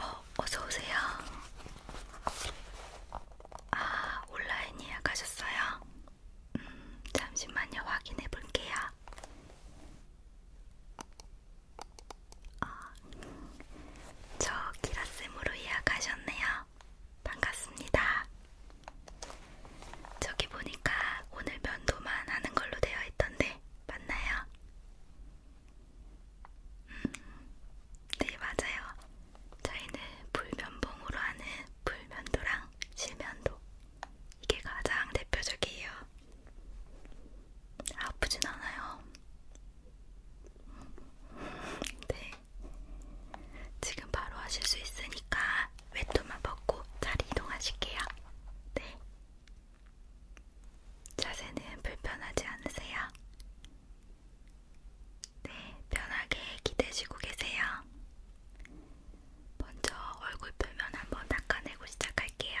어, 어서 오세요. 아, 온라인 예약하셨어요? 음, 잠시만요. 확인해 볼게요. 아, 저 기라쌤으로 예약하셨네요. 반갑습니다. 저기 보니까 오늘 면도만 하는 걸로 되어 있던데 맞나요? 음, 네 맞아요. 저희는 불면봉으로 하는 불면도랑 실면도 이게 가장 대표적이에요. 아프진 않아요. 네. 지금 바로 하실 수 있으니까 외투만 벗고 자리 이동하실게요. 네. 자세는 불편하지 않으세요? 네, 편하게 기대시고 계세요. 먼저 얼굴 표면 한번 닦아내고 시작할게요.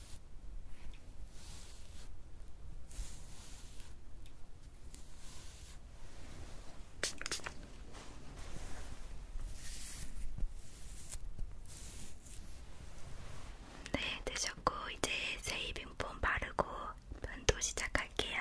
네, 되셨고 이제 세이빙폼 바르고 면도 시작할게요.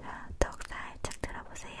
자, 턱 살짝 들어보세요.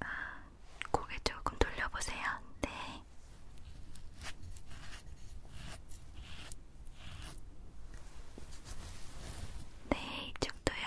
아, 고개 조금 돌려보세요. 네. 네, 이쪽도요.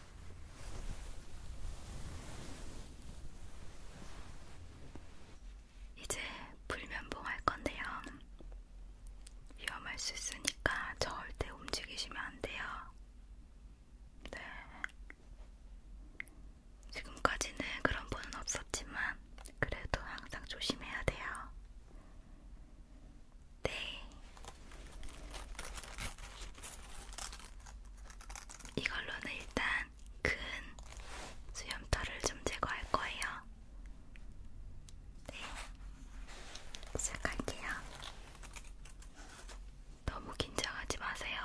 이제 불면봉 할 건데요. 위험할 수 있으니까 절대 움직이시면 안 돼요. 네. 지금까지는 그런 분은 없었지만, 그래도 항상 조심해야 돼요. 네. 이걸로는 일단 큰 수염털을 좀 제거할 거예요. 네. 시작할게요. 너무 긴장하지 마세요.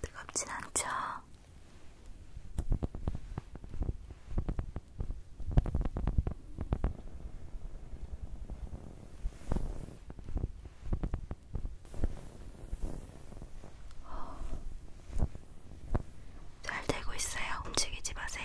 뜨겁진 않죠? 어, 잘 되고 있어요. 움직이지 마세요.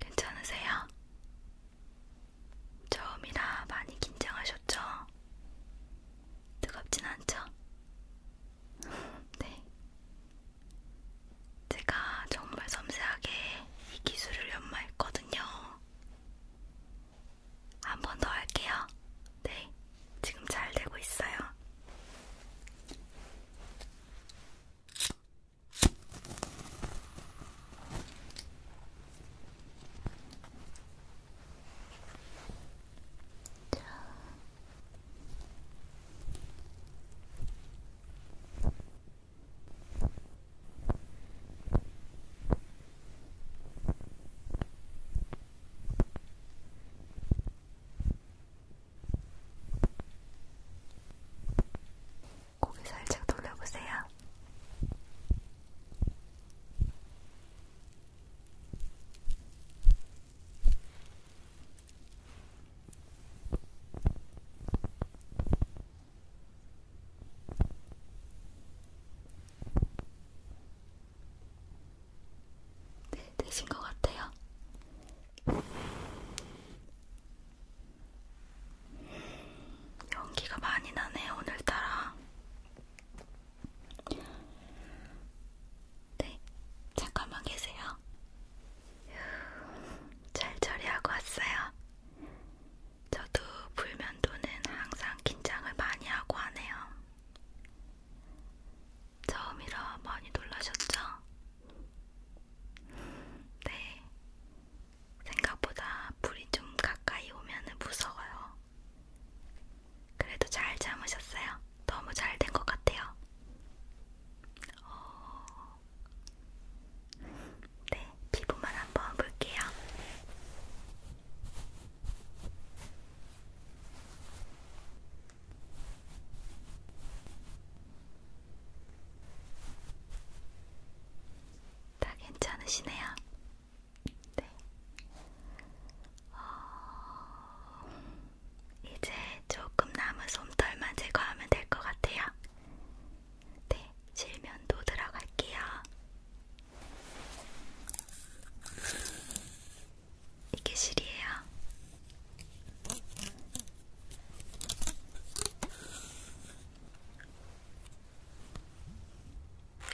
괜찮으세요? 처음이라 많이 긴장하셨죠? 뜨겁진 않죠? 네. 제가 정말 섬세하게 이 기술을 연마했거든요. 한번더 할게요. 네, 지금 잘 되고 있어요. 자. 고개 살짝 돌려보세요. 네, 되신 것 같아요. 연기가 많이 나네, 오늘따라. 네, 잠깐만 계세요. 잘 처리하고 왔어요. 저도 불면도는 항상 긴장을 많이 하고 하네요. 처음이라 많이 놀라셨죠? 네. 생각보다 불이 좀 가까이 오면은 무서워요. 그래도 잘 잠으셨어요. 너무 잘 된 것 같아요. 어, 네, 피부만 한번 볼게요. 다 괜찮으시네요. 네. 어... 이제 조금 남은 솜털만 제거하면 될 것 같아요. 네, 실면도 들어갈게요. 이게 실이에요.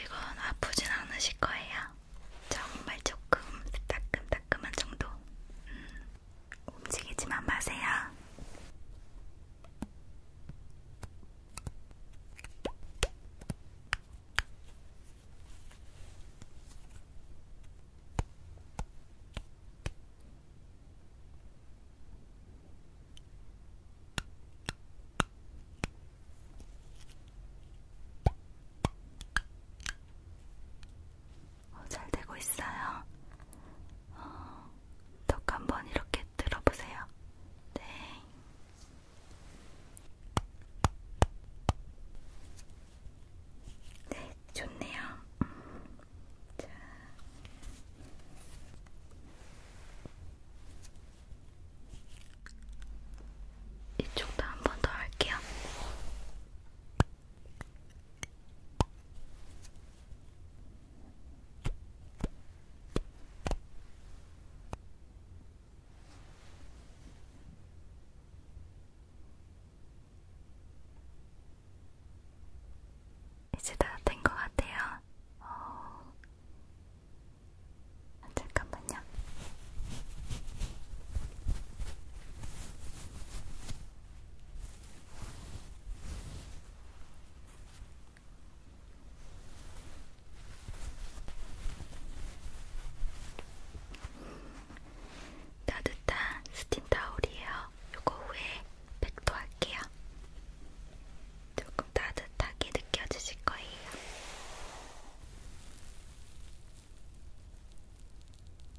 이건 아프진 않으실 거예요. 정말 조금 따끔따끔한 정도. 음. 움직이지만 마세요. 어, 잘 되고 있어요. 어, 턱 한번 이렇게 들어보세요. 네. 네, 좋네요. 음, 자. 이쪽도 한번 더 할게요. 이제 다된것 같아요. 어... 잠깐만요. 따뜻한 스팀 타올이에요. 요거 후에 백도 할게요. 조금 따뜻하게 느껴지실 거예요.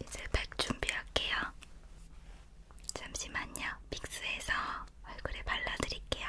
이제 팩 준비할게요. 잠시만요. 믹스해서 얼굴에 발라드릴게요.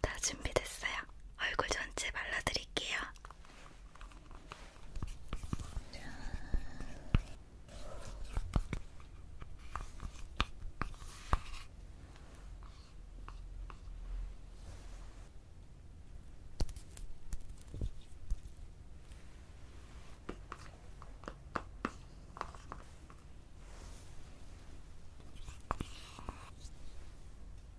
다 준비됐어요. 얼굴 전체 발라드릴게요.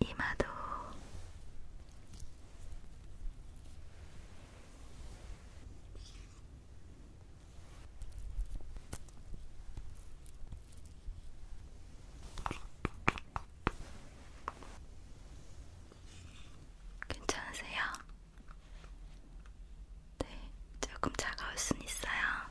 이마도 괜찮으세요? 네, 조금 차가울 순 있어요.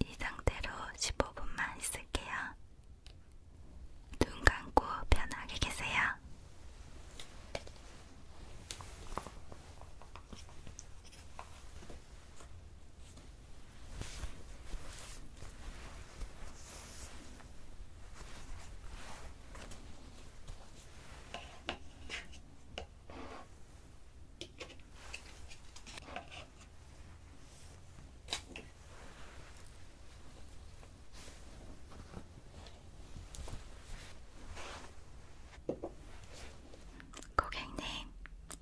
이 상태로 15분만 있을게요. 눈 감고 편하게 계세요. 고객님,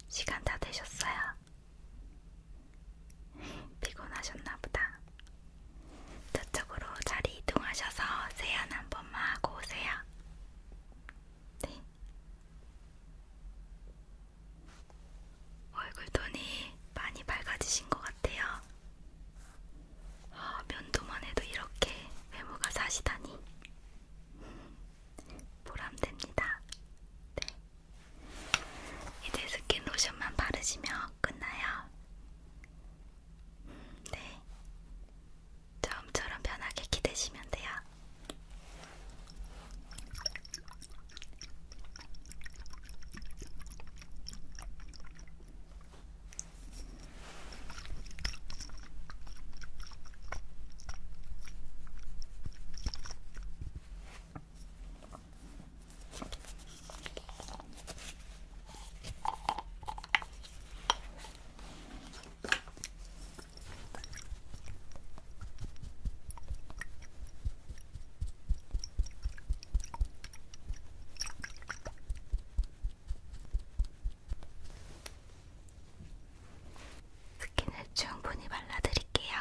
시간 다 되셨어요. 피곤하셨나 보다. 저쪽으로 자리 이동하셔서 세안 한 번만 하고 오세요. 네. 얼굴 톤이 많이 밝아지신 것 같아요. 아, 면도만 해도 이렇게 외모가 사시다니. 음, 보람됩니다. 네. 이제 스킨 로션만 바르시면 끝나요. 음, 네. 처음처럼 편하게 기대시면 돼요. 스킨을 충분히 발라드릴게요.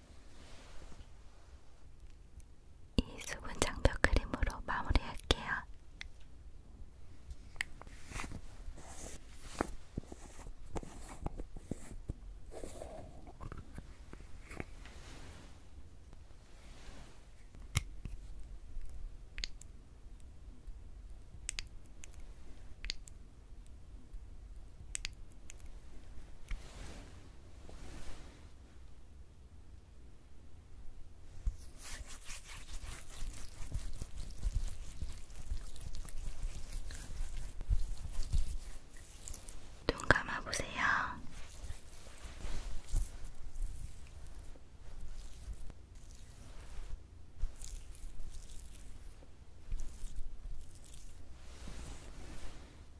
이 수분 장벽 크림으로 마무리할게요. 눈 감아보세요.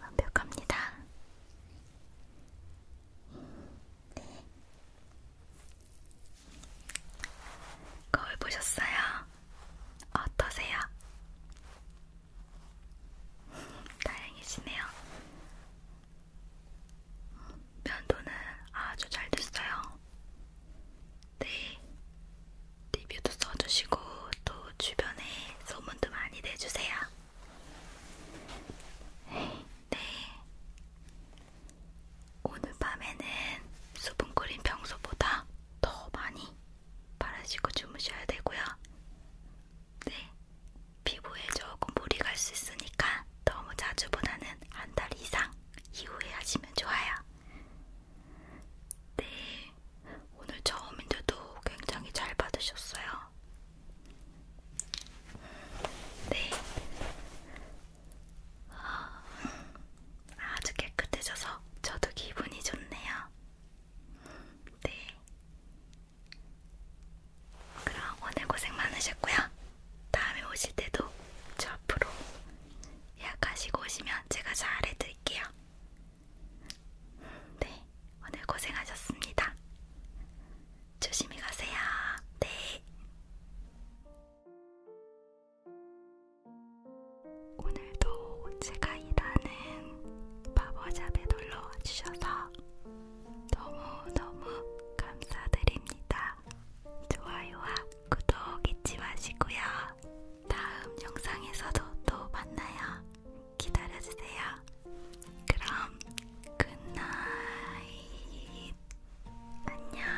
완벽합니다. 네. 거울 보셨어요? 어떠세요? 다행이시네요. 면도는 아주 잘 됐어요. 네, 리뷰도 써주시고 또 주변에 소문도 많이 내주세요. 네, 오늘 밤에는 수분크림 평소보다 더 많이 바르시고 주무셔야 되고요. 네, 피부에 조금 물이 갈수 있으니까 너무 자주보다는 한 달 이상 이후에 하시면 좋아요. 네, 오늘 처음인데도 굉장히 잘 받으셨어요. 네, 아, 아주 깨끗해져서 저도 기분이 좋네요. 네, 그럼 오늘 고생 많으셨고요. 다음에 오실 때도 저 앞으로 예약하시고 오시면 제가 잘 해드릴게요. 네, 오늘 고생하셨습니다. 조심히 가세요. 네. 오늘도 제가 일하는 바버샵에 놀러 와주셔서 너무너무 감사드립니다. 좋아요와 구독 잊지 마시고요. 다음 영상에서도 또 만나요. 기다려주세요. 그럼 굿나잇 안녕